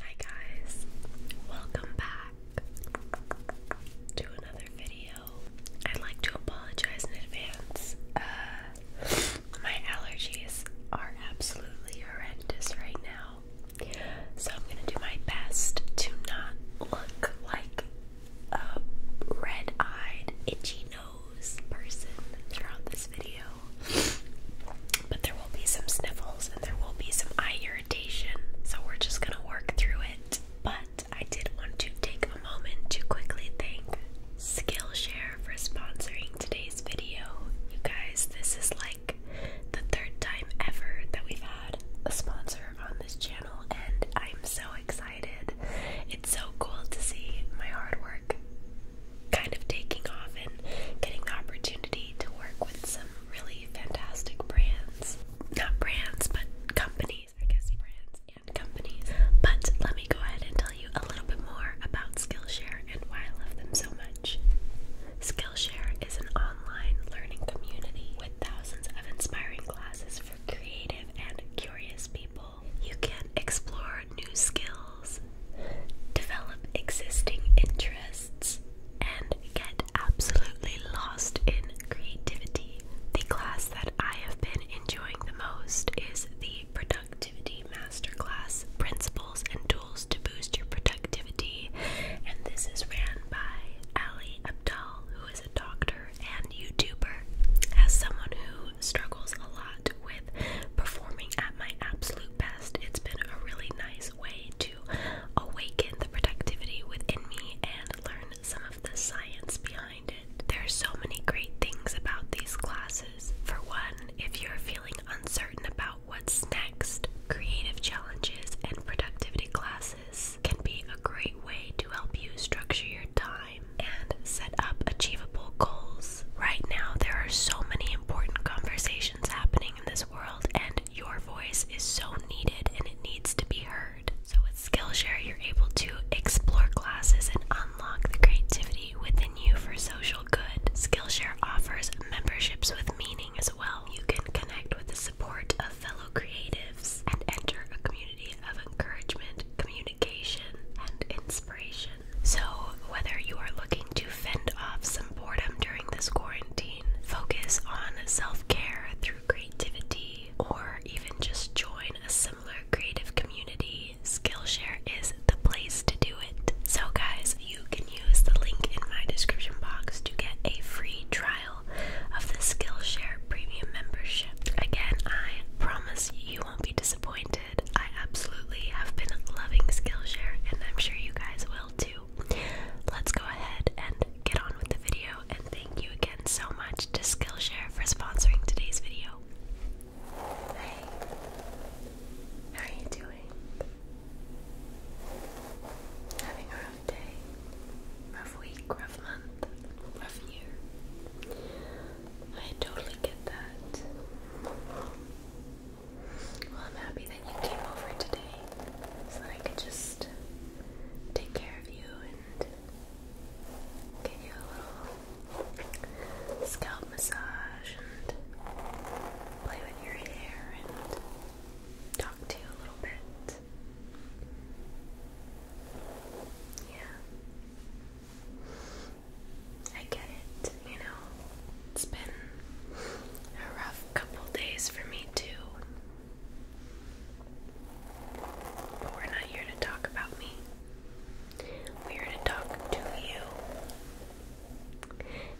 Hi guys, welcome back to another video. I'd like to apologize in advance. Uh, my allergies are absolutely horrendous right now, so I'm gonna do my best to not look like a red eyed, itchy nose person throughout this video. But there will be some sniffles and there will be some eye irritation, so we're just gonna work through it. But I did want to take a moment to quickly thank Skillshare for sponsoring today's video. You guys, this is like the third time ever that we've had a sponsor on this channel, and I'm so excited. It's so cool to see my hard work kind of taking off and getting the opportunity to work with some really fantastic brands. Not brands, but companies. I guess brands and companies. But let me go ahead and tell you a little bit more about Skillshare and why I love them so much. Skillshare is an online learning community with thousands of inspiring classes for creative and curious people. You can explore new skills develop existing interests, and get absolutely lost in creativity. The class that I have been enjoying the most is the Productivity Masterclass Principles and Tools to Boost Your Productivity. And this is ran by Ali Abdal, who is a doctor and YouTuber. As someone who struggles a lot with performing at my absolute best, it's been a really nice way to awaken the productivity within me and learn some of the science behind it. There are so many great things about these classes. For one, if you're feeling uncertain about what's next, creative challenges and productivity classes can be a great way to help you structure your time and set up achievable goals. Right now, there are so many important conversations happening in this world, and your voice is so needed and it needs to be heard. So, with Skillshare, you're able to explore classes and unlock the creativity within you for social good. Skillshare offers memberships with meaning as well. You can connect with the support of fellow creatives and enter a community of encouragement, communication, and inspiration. So, whether you are looking to fend off some boredom during this quarantine, focus on self care through creativity, or even just join a similar creative community, Skillshare is the place to do it. So, guys, you can use the link in my description box to get a free trial of the Skillshare premium membership. Again, I promise you won't be disappointed. I absolutely have been loving Skillshare, and I'm sure you guys will too. Let's go ahead and get on with the video, and thank you again so much to Skillshare for sponsoring today's video. Hey, how are you doing? Having a rough day, rough week, rough month, rough year. I totally get that. Well, I'm happy that you came over today so that I could just take care of you and give you a little scalp massage and play with your hair and talk to you a little bit. Yeah. I get it, you know. It's been a rough couple days for me, too. But we're not here to talk about me. We're here to talk to you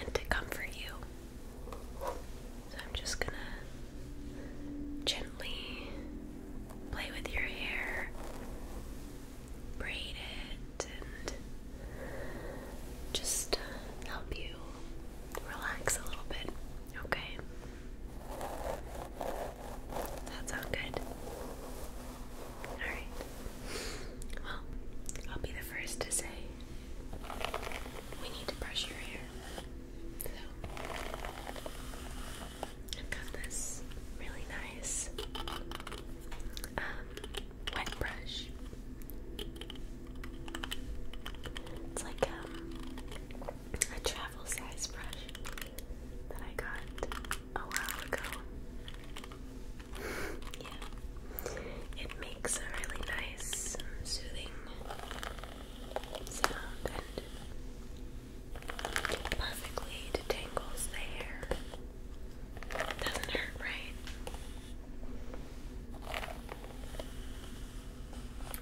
and to comfort you. So I'm just gonna gently play with your hair, braid it and just help you relax a little bit, okay? That sounds good. Alright. Well, I'll be the first to say we need to brush your hair. So I've got this really nice um, wet brush. It's like um, a travel size brush that I got a while ago. yeah, it makes a really nice, um, soothing sound and perfectly detangles the hair. Doesn't hurt, right?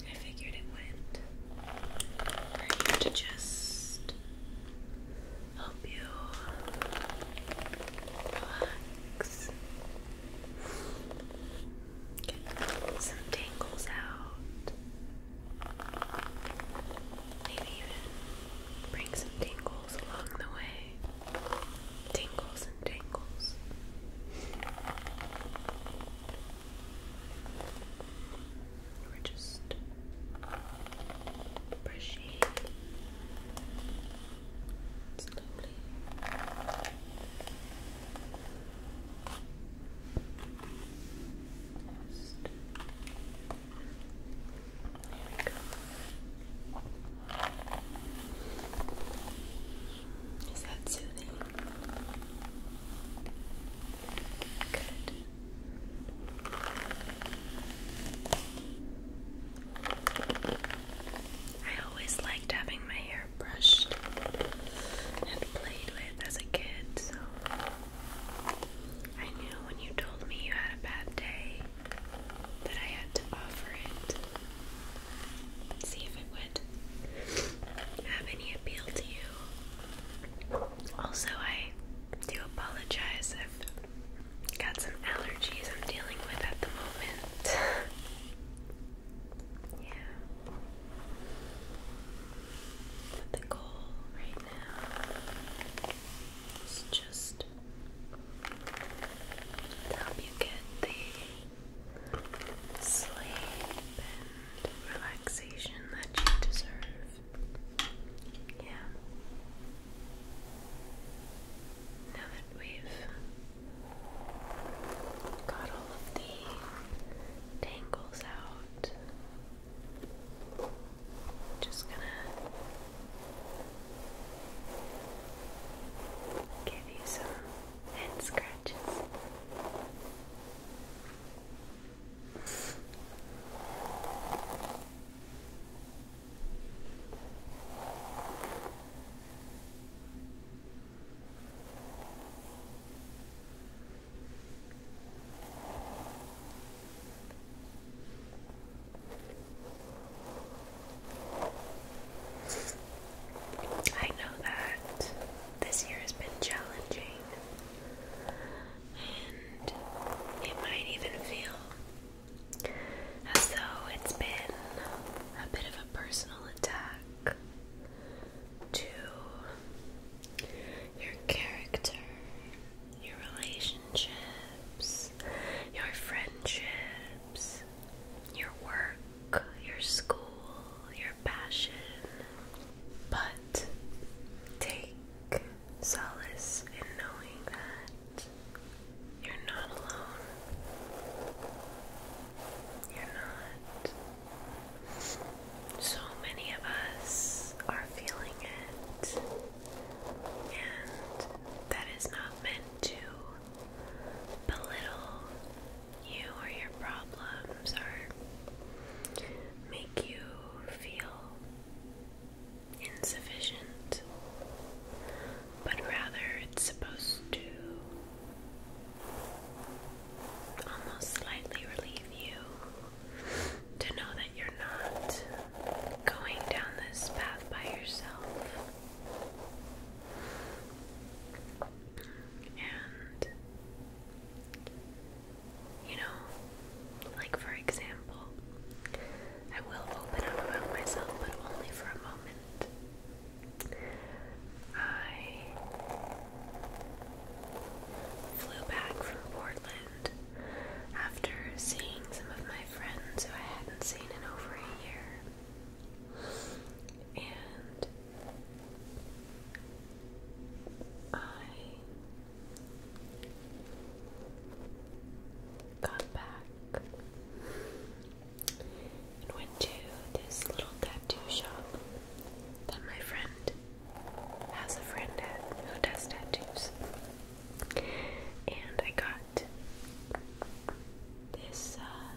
I figured it went. We're to just help you relax. Get some tangles out. Maybe even bring some tingles along the way. Tingles and tingles. We're just slowly. Just is that soothing? Good. I always liked having my hair brushed and played with as a kid, so I knew when you told me you had a bad day, that I had to offer it see if it would have any appeal to you. Also, I do apologize. I've got some allergies I'm dealing with at the moment. yeah. the goal right now is just help you get the sleep and relaxation that you deserve. Yeah. Now that we've got all of the tangles out, just gonna give you some head scratches. I know that this year has been challenging, and it might even feel as though it's been a bit of a personal attack to your character your relationships, your friendships, your work, your school, your passion. But take solace in knowing that you're not alone. You're not. So many of us are feeling it. And that is not meant to belittle you or your problems or make you feel insufficient, but rather it's supposed to almost slightly relieve you to know that you're not going down this path by yourself. And, you know, like for example, I will open up about myself, but only for a moment. I flew back from Portland after seeing some of my friends who I hadn't seen in over a year. And I got back and went to this little tattoo shop that my friend has a friend at who does tattoos. And I got this uh,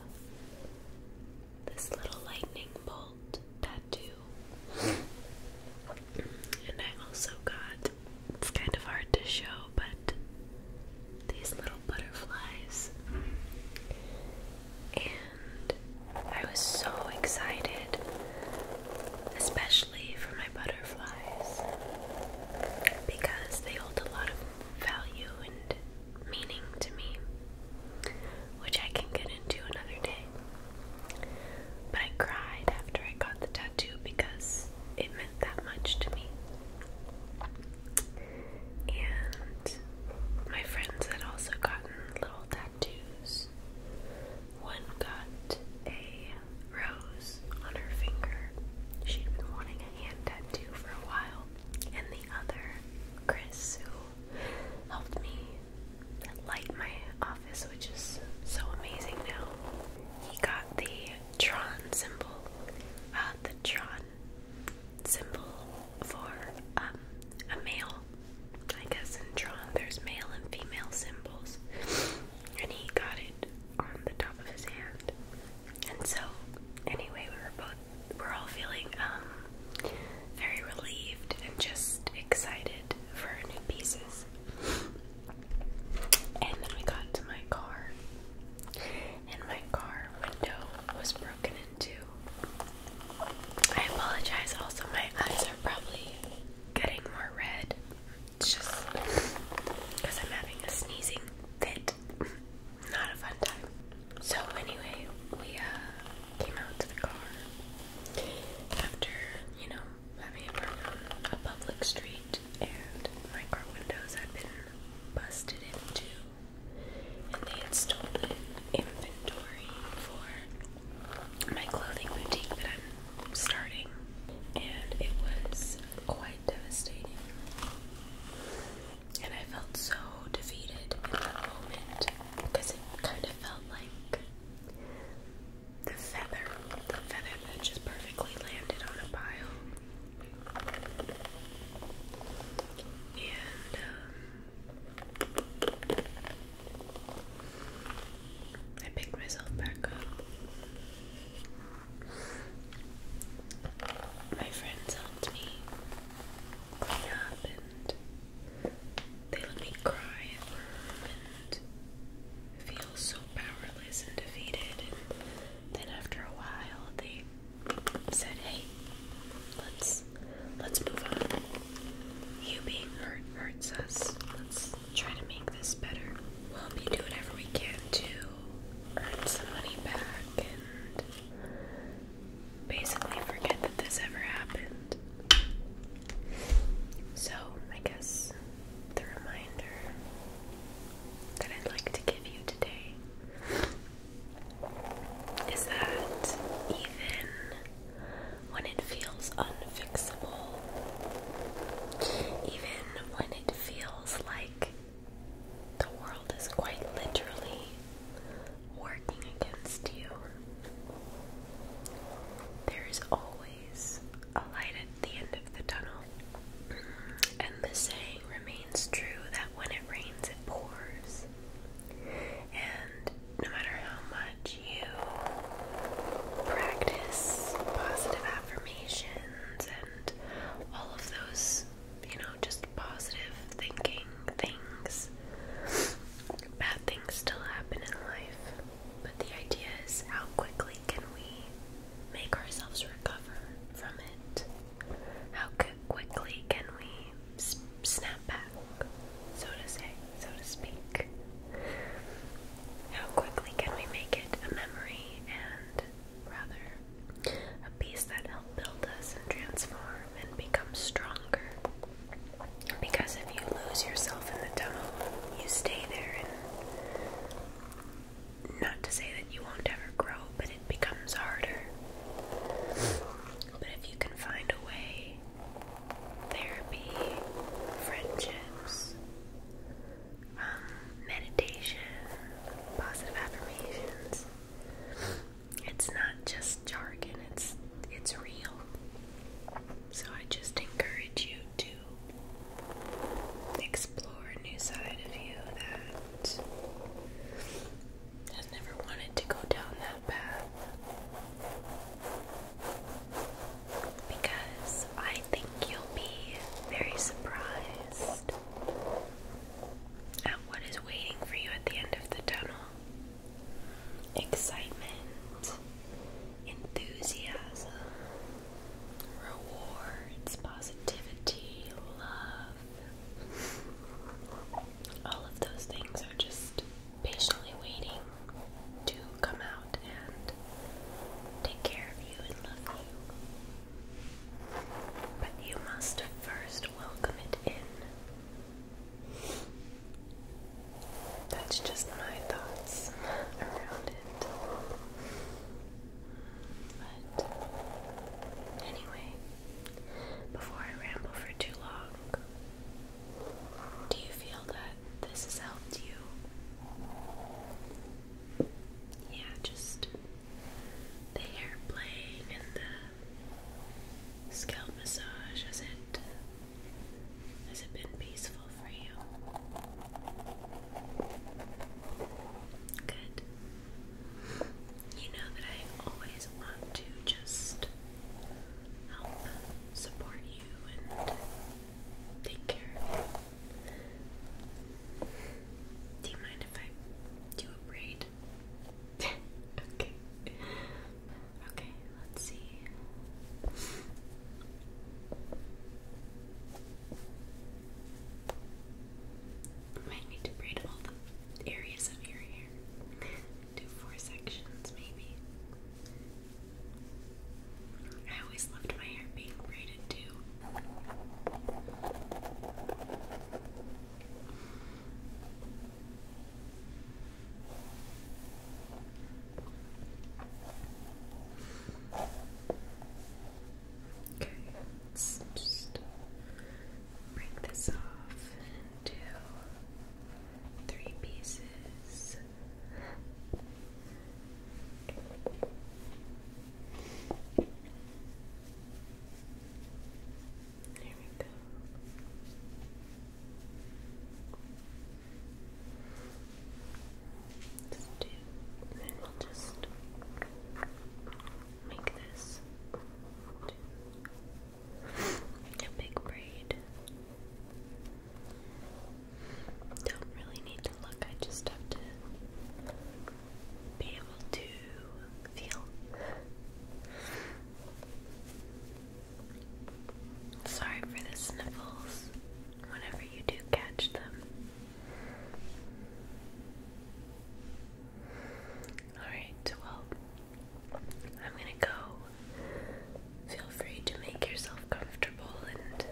this little lightning bolt tattoo. and I also got it's kind of hard to show, but these little butterflies. And I was so excited especially for my butterflies, because they hold a lot of value and meaning to me, which I can get into another day. But I cried after I got the tattoo because it meant that much to me. And my friends had also gotten little tattoos. One got a rose on her finger. She'd been wanting a hand tattoo for a while. And the other, Chris, who helped me light my office, which is so amazing now. He got the Tron symbol, uh, the Tron symbol for um, a male. I guess in Tron there's male and female symbols and he got it on the top of his hand. And so, anyway, we were both, we're all feeling um, very relieved and just excited for our new pieces. And then we got to my car, and my car window was broken into. I apologize, also, my eyes are probably getting more red it's just because I'm having a sneezing fit. Not a fun time. So anyway, we uh, came out to the car after, you know, having a burn on a public street and my car windows had been busted into and they had stolen inventory for my clothing boutique starting, and it was quite devastating. And I felt so defeated in that moment because it kind of felt like the feather, the feather that just perfectly landed on a pile. And um, I picked myself back up. My friends helped me clean up and they let me cry at home and feel so powerless and defeated. And then after a while, they said, "Hey, let's let's move on. You being hurt hurts us try to make this better. We'll be doing whatever we can to earn some money back and basically forget that this ever happened. So, I guess the reminder that I'd like to give you today is that even when it feels unfixable, even when it feels like the world is quite literally working against you. There is always a light at the end of the tunnel, and the saying remains true that when it rains, it pours. And no matter how much you practice positive affirmations and all of those, you know, just positive thinking things, bad things still happen in life. But the idea is how quickly can we make ourselves recover from it? How quickly can we snap back, so to say? so to speak. How quickly can we make it a memory and rather a piece that helps build us and transform and become stronger? Because if you lose yourself in the tunnel, you stay there not to say that you won't ever grow, but it becomes harder. But if you can find a way therapy, friendships, um, meditation, positive affirmations. It's not just jargon, it's it's real. So I just encourage you to explore a new side of you that has never wanted to go down that path because I think you'll be very surprised at what is waiting for you at the end of the tunnel. Excitement, enthusiasm, rewards, positivity, love. All of those things are just patiently waiting to come out and take care of you and love you. But you must first welcome it in. That's just my thoughts around it. But anyway, before I ramble for too long, do you feel that this has helped you? Yeah, just the hair playing and the scalp massage. Has it has it been peaceful for you? Good. You know that I always want to just help support you and take care of you. Do you mind if I do a braid? okay. Okay, let's see. Might need to braid all the areas of your hair. Do four sections, maybe. I always loved my hair being braided too. Okay, let's just break this off into three pieces. There we go. let do, and then we'll just make this a big braid. Don't really need to look, I just have to be able to feel. Sorry for the sniffles whenever you do catch them. Alright, well, I'm gonna go feel free to make yourself comfortable and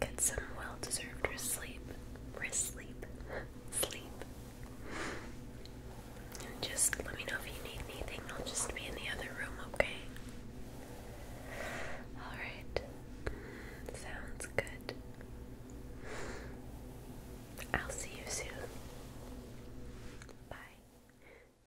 get some well deserved rest sleep. Rest sleep. Sleep. And just let me know if you need anything. I'll just be in the other room, okay? Alright. Sounds good. I'll see you soon. Bye.